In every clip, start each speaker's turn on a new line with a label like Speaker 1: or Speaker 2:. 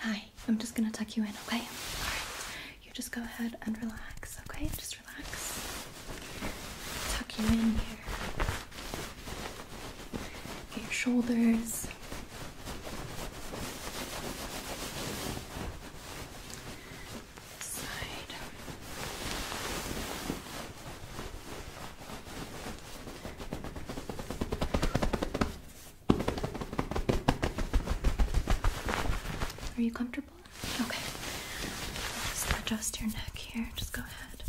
Speaker 1: Hi, I'm just gonna tuck you in, okay? you just go ahead and relax, okay? Just relax. Tuck you in here. your shoulders. Side. Are you comfortable? Okay. Just adjust your neck here. Just go ahead.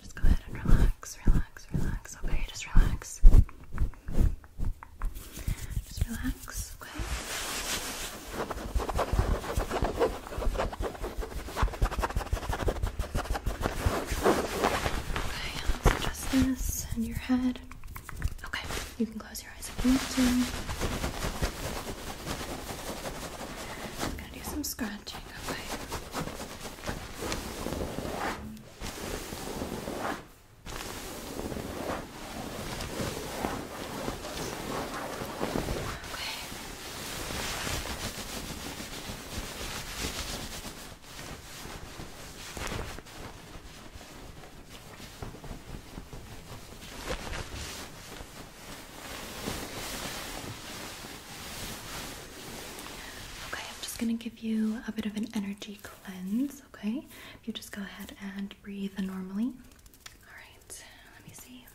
Speaker 1: Just go ahead and relax, relax, relax. Okay, just relax. Just relax, okay? Okay, let's adjust this and your head. Okay, you can close your eyes if you want to. I'm gonna do some scratching, okay? Okay. Okay, I'm just going to give you a bit of an energy cleanse, okay? If you just go ahead and breathe normally. All right, let me see.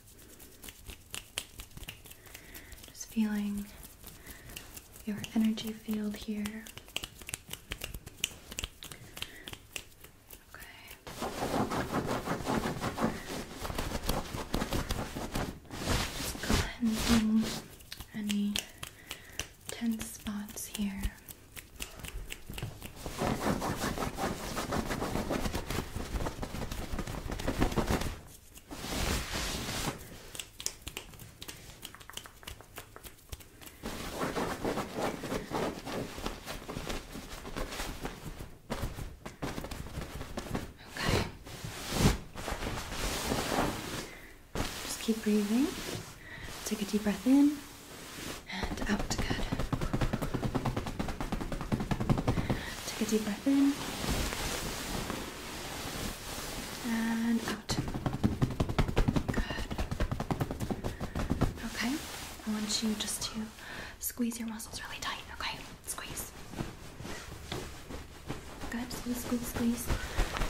Speaker 1: Just feeling your energy field here. Okay. Just cleansing any tense spots here. Okay. Just keep breathing. Take a deep breath in and out. Good. Take a deep breath in and out. Good. Okay. I want you just to squeeze your muscles really tight. Okay. Squeeze. Good. Squeeze, squeeze, squeeze.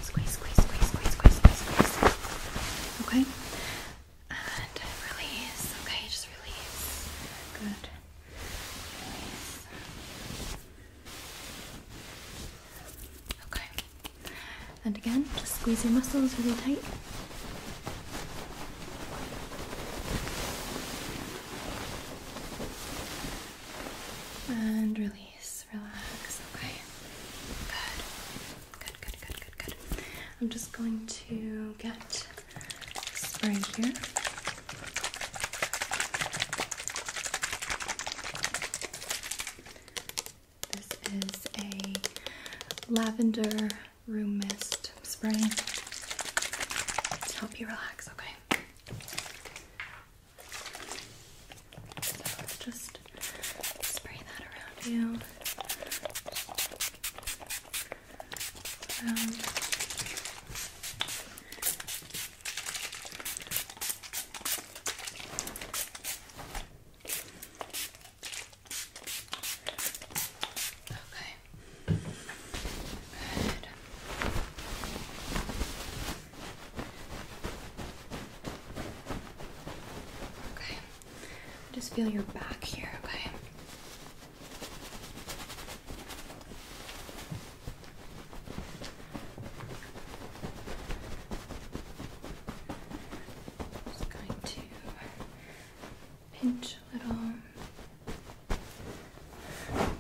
Speaker 1: Squeeze, squeeze, squeeze, squeeze, squeeze, squeeze, squeeze. Okay. And release. Okay, just release. Good. Release. Okay. And again, just squeeze your muscles really tight. And release, relax, okay? Good. Good, good, good, good, good. I'm just going to get spray here. This is a lavender room mist spray to help you relax, okay? So just spray that around you. Um, Okay. Good. Okay. Just feel your back here, okay? just going to pinch a little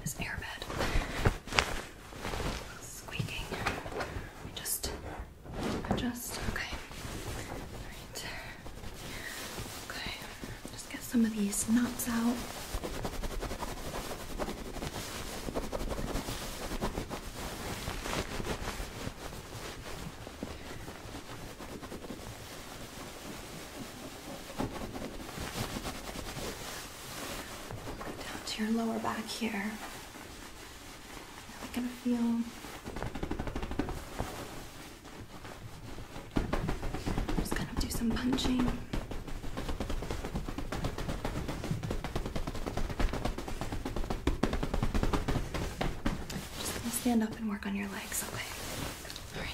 Speaker 1: this airbed squeaking. Just adjust. Okay. Alright. Okay. Just get some of these knots out. Go down to your lower back here. I can feel I'm just gonna do some punching. Just gonna stand up and work on your legs, okay? All right.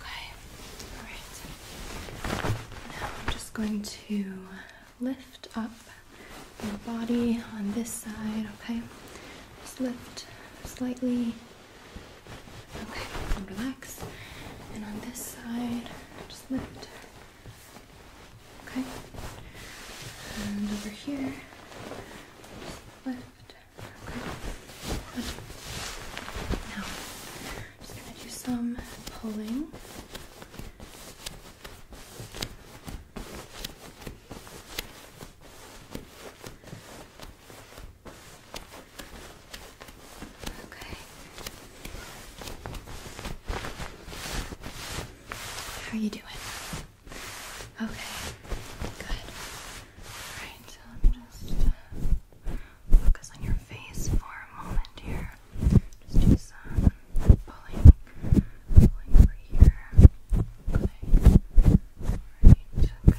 Speaker 1: Okay, alright. Now I'm just going to lift up the body on this side, okay? Just lift slightly. Okay, and relax. And on this side, just lift. Okay. And over here, just lift. Now, just gonna do some pulling. Okay. How are you doing? Okay. Good. Alright, so let me just uh, focus on your face for a moment here. Just do some pulling, pulling over here. Okay. Alright, good. Okay.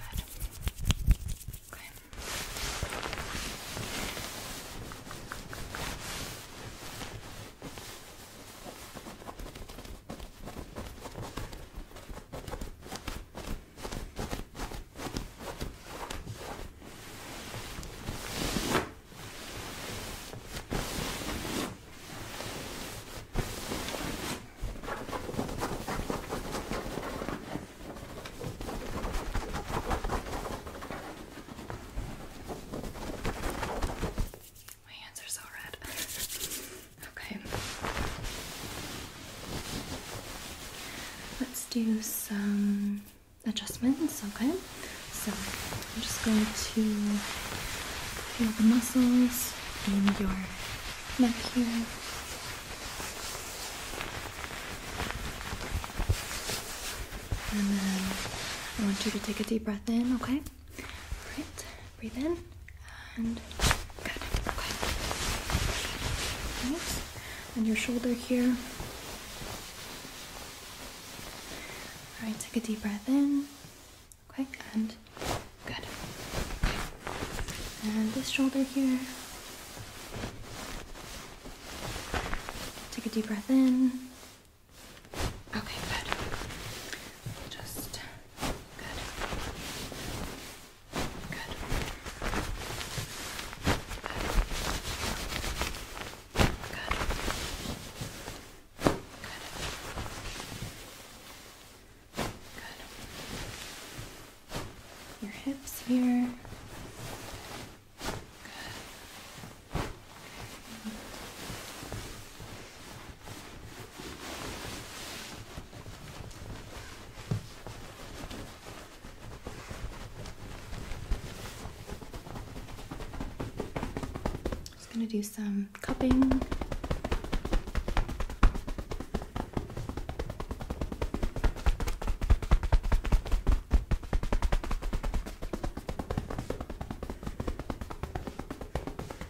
Speaker 1: My hands are so red. Okay. Let's do some adjustments, okay? So I'm just going to feel the muscles in your neck here. And then I want you to take a deep breath in, okay? All right breathe in and good. Okay. And your shoulder here. All right, take a deep breath in. Okay, and good. And this shoulder here. Take a deep breath in. Okay, good. Just good. Good. Good. Good. Good. Your hips here. Good. Okay. Just going to do some cupping.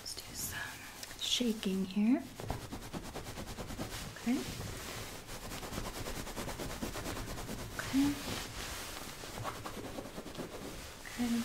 Speaker 1: Let's do some shaking here. Okay. Okay. Okay. Okay.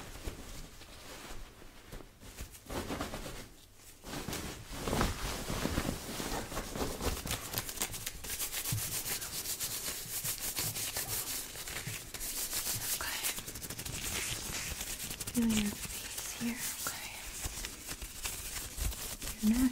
Speaker 1: Feel your face here, okay? Your neck.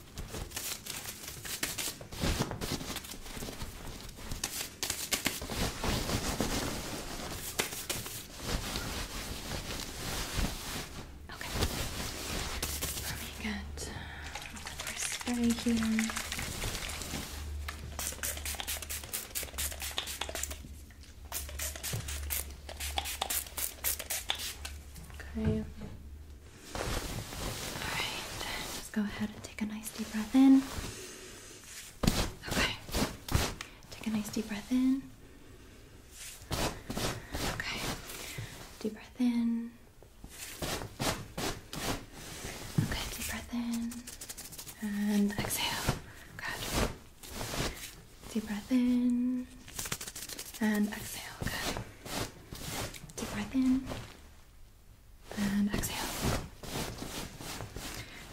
Speaker 1: Okay. Probably got our spray here. Okay. Alright, just go ahead and take a nice deep breath in. Okay. Take a nice deep breath in. Okay. Deep breath in. Okay, deep breath in. And exhale. Good. Deep breath in. And exhale. Good. Deep breath in and exhale.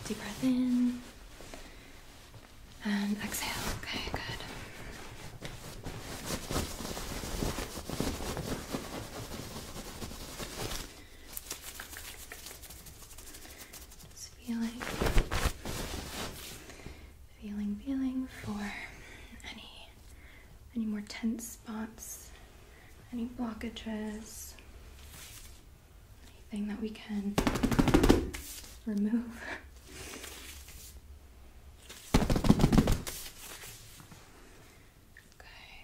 Speaker 1: Deep breath in and exhale. Okay, good. Just feeling, feeling, feeling for any any more tense spots, any blockages, anything that we can remove. Okay.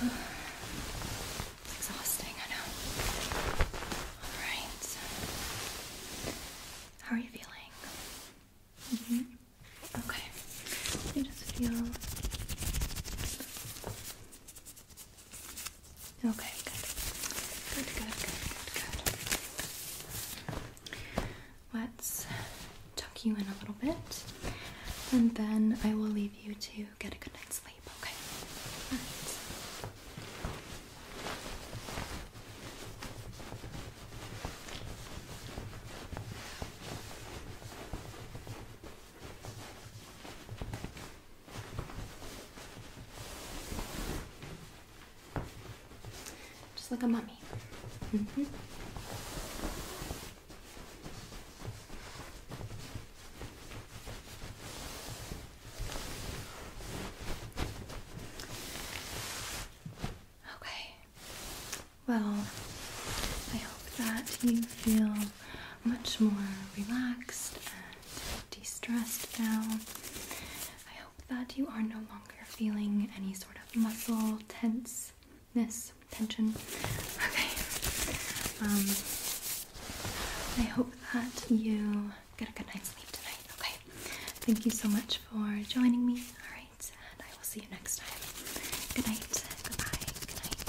Speaker 1: It's exhausting, I know. Alright. How are you feeling? -hmm. Okay. Let just feel. Okay, Good, good, good, good, good let's tuck you in a little bit and then I will leave you to get a good night's sleep, okay? Just like a mummy. Mm -hmm. Okay. Well, I hope that you feel much more relaxed and de stressed now. I hope that you are no longer feeling any sort of muscle tense ness, Attention. Okay. Um, I hope that you get a good night's sleep tonight. Okay. Thank you so much for joining me. All right, and I will see you next time. Good night. Goodbye. Good night.